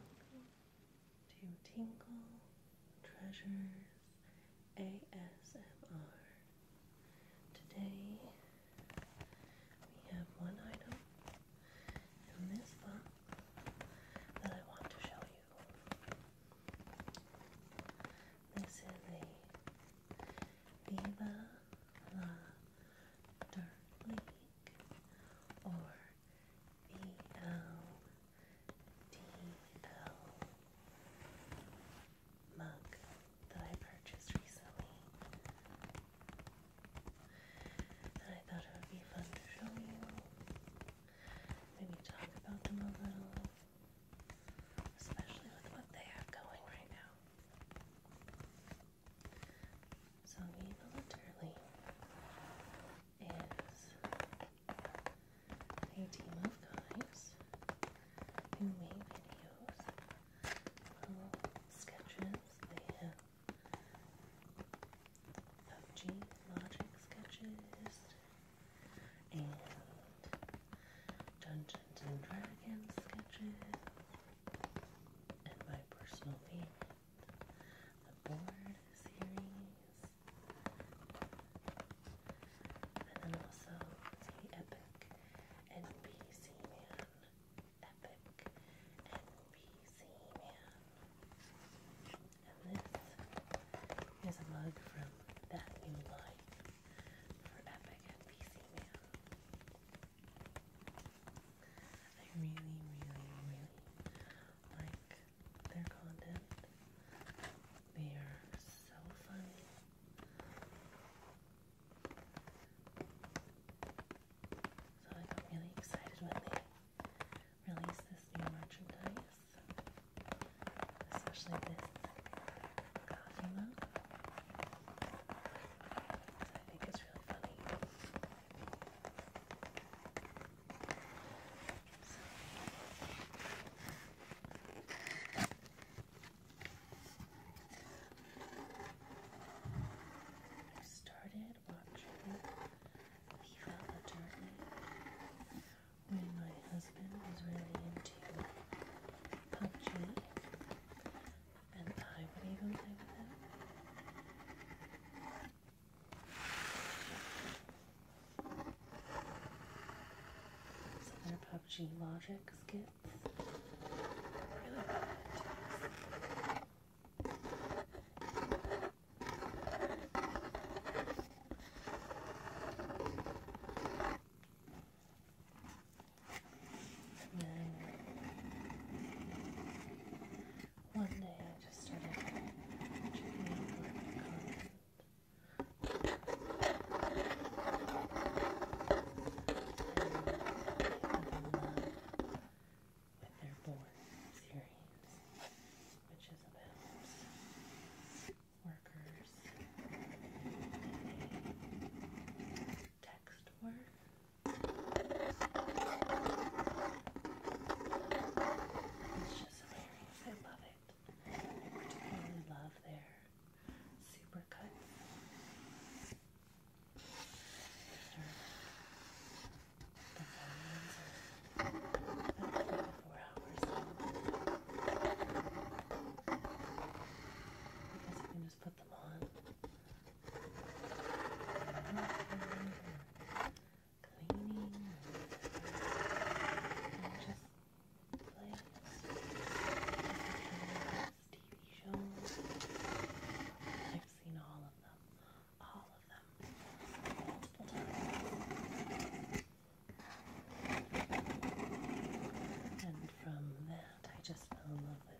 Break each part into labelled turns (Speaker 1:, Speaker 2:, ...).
Speaker 1: Welcome to Tinkle Treasures ASMR. Today we have one item in this box that I want to show you. This is a Viva the Dark or BLDL mug that I purchased recently. And I thought it would be fun to show you. Maybe talk about them a little. Especially with what they have going right now. So militarily is a team of guys who make videos, little sketches. They have PUBG logic sketches and Dungeons and Dragons sketches and my personal opinion, the board series, and then also the Epic NPC Man, Epic NPC Man, and this is a mug from That New Life for Epic NPC Man. I really, really, really like their content. They are so funny. So I got really excited when they released this new merchandise, especially this coffee mug. I think it's really funny. I started watching Leave Out the Dirty when my husband was really into PUBG and I would even play with him. their PUBG logic skits. Really and then one day I just started checking out my content. With their born series, which is about workers, text work, it's just hilarious. I love it. I particularly love their super cuts. The volumes are about three to four hours long. I guess you can just put them on cleaning and just plays I've seen all of them, all of them multiple times. And from that, I just fell in love with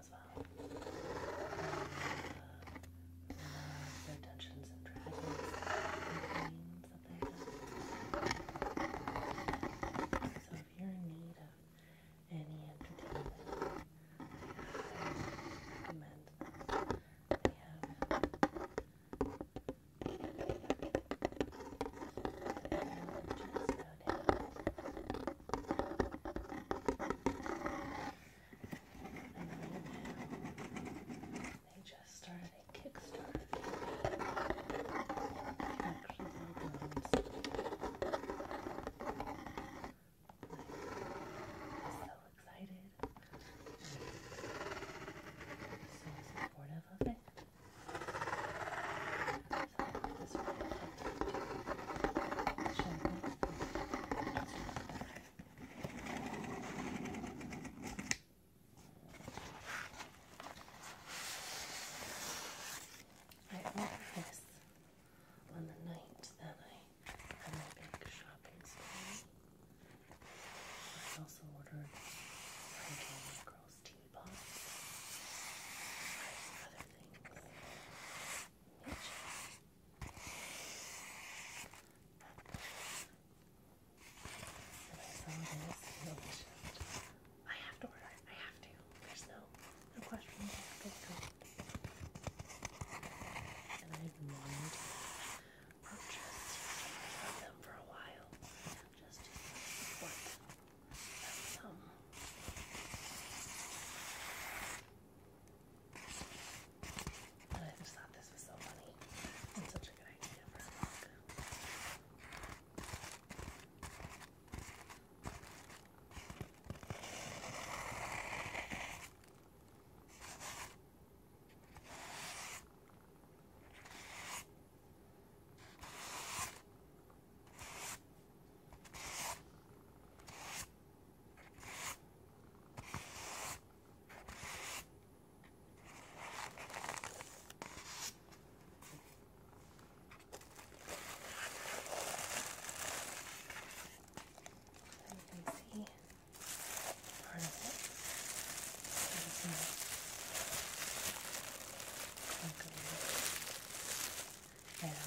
Speaker 1: as well. Uh, um, their Dungeons and Dragons games that they have. So if you're in need of any entertainment, I recommend this. They have I and then they just started a Kickstarter. Actually, I'm so excited. I'm so supportive of it. So, this really to show you I bought this on the night that I had my big shopping spree. I also ordered Frankie and Girls Teapots and other things. Mitchell. I have to order it. I have to. There's no, no question. I have to order it. And I've wanted to purchase from them for a while. Just to see what um, and I just thought this was so funny and such a good idea for a book. I you can see part of it. There's no there.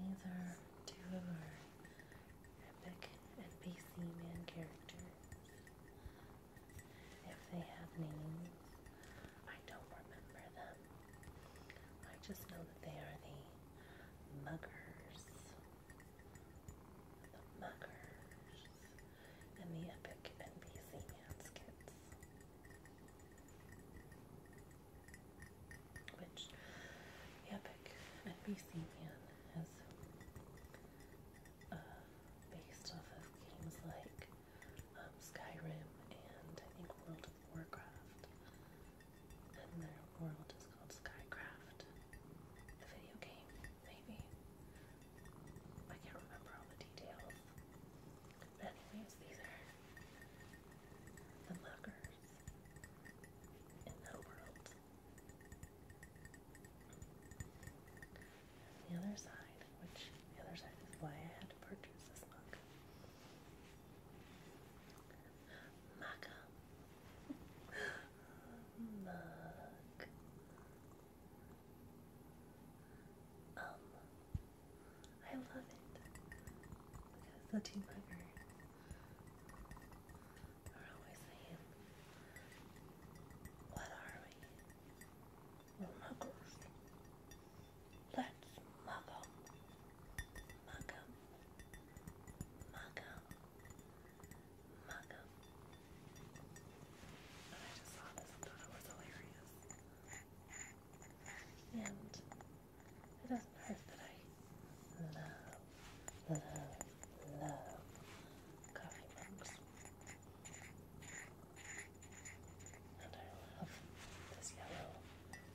Speaker 1: These are two of our epic NPC man characters. If they have names, I don't remember them. I just know that they are the muggers. The muggers. And the epic NPC man skits which the epic Nbcman has uh, based off of games like um, Skyrim and I think World of Warcraft. And their world is called Skycraft. The video game, maybe. I can't remember all the details. But anyways, these are the muggers the other side, which the other side is why I had to purchase this mug. Mug. Um, I love it because the what are we? we Let's mug em. Mug em. And I just saw this and thought it was hilarious. And it doesn't hurt that I love, love, love coffee mugs. And I love this yellow,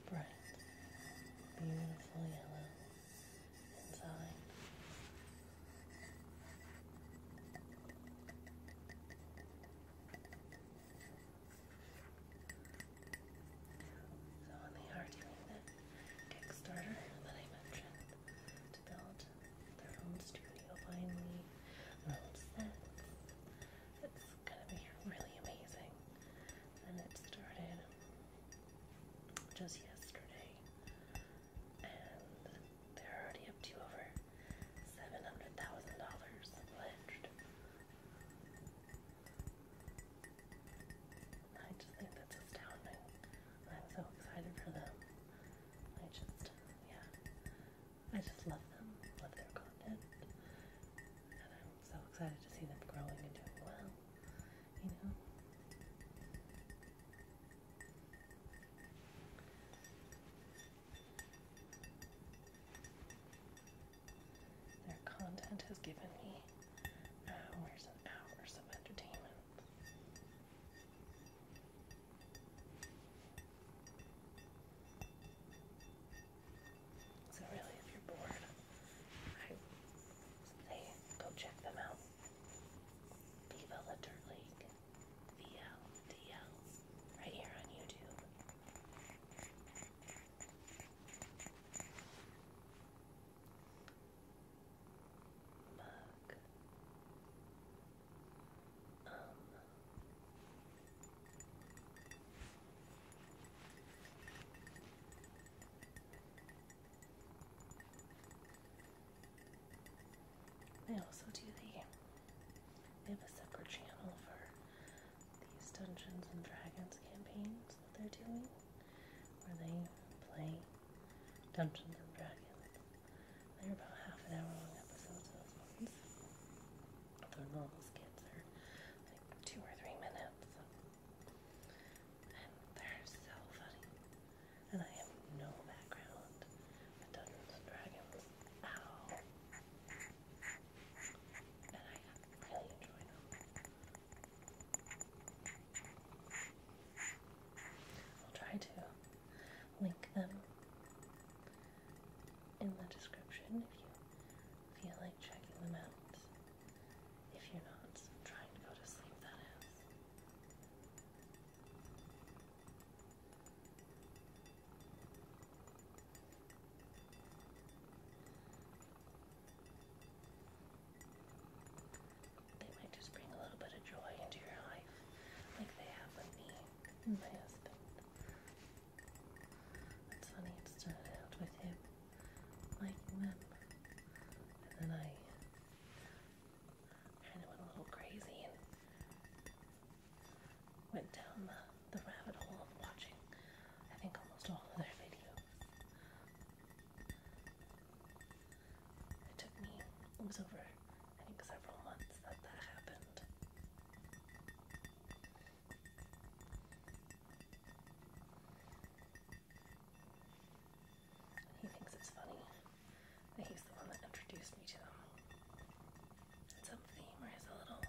Speaker 1: bright, beautiful yellow inside. So on the art Kickstarter that I mentioned to build their own studio finally, It's gonna be really amazing. And it started just yesterday. And they're already up to over $700,000 pledged. I just think that's astounding. I'm so excited for them. I just, yeah, I just love them, love their content, and I'm so excited to see them growing and doing well, you know? Their content has given me hours and hours of entertainment. So really, if you're bored, I say go check them out. Viva Dirt League, VLDL, right here on YouTube mug, they also do the they have a separate channel for these Dungeons and Dragons campaigns that they're doing where they play Dungeons and Dragons. They're about half an hour long episodes, those ones. The normal skits are like two or three minutes. And they're so funny. And I have no background with Dungeons and Dragons at all. And I really enjoy them. I'll try to link them in the description if you feel like checking them out. If you're not trying to go to sleep, that is. They might just bring a little bit of joy into your life, like they have with me It's funny, it started out with him liking them, and then I kind of went a little crazy and went down the, rabbit hole of watching, I think, almost all of their videos. It took me, it was over, I think, several months that that happened. He thinks it's funny that he's the one that introduced me to them. And some femur is a little,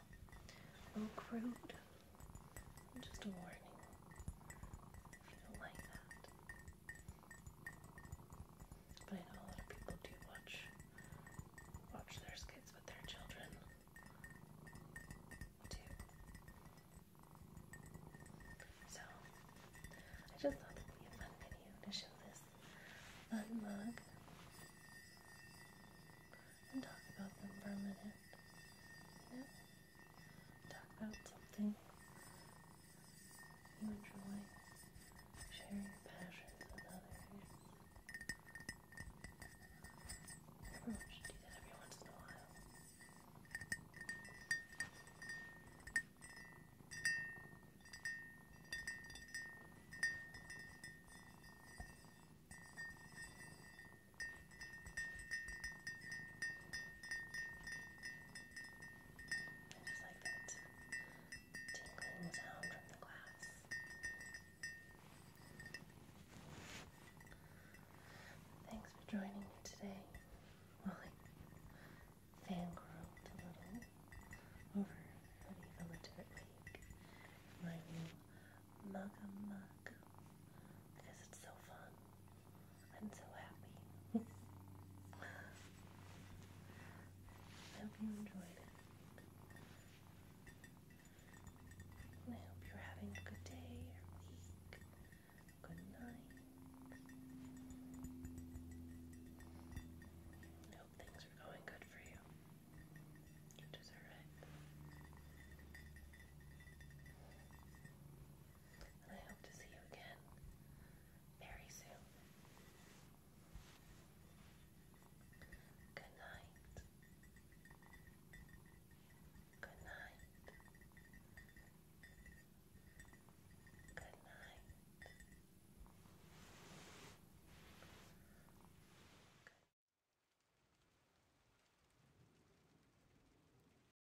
Speaker 1: little crude. Just a warning. If you don't like but I know a lot of people do watch watch their skits with their children too. So I just thought it'd be a fun video to show this fun and talk about them for a minute. You know? talk about something you enjoy, share your passion with others. Everyone should do that every once in a while just like that tingling sound from the glass. Thanks for joining me today while I little over an even legitimate make my new Mugga Mug because it's so fun. I'm so happy. I hope you enjoyed I hope you're having a good day or week. Good night. I hope things are going good for you. You deserve it. I hope to see you again very soon. Good night. Good night. Good night.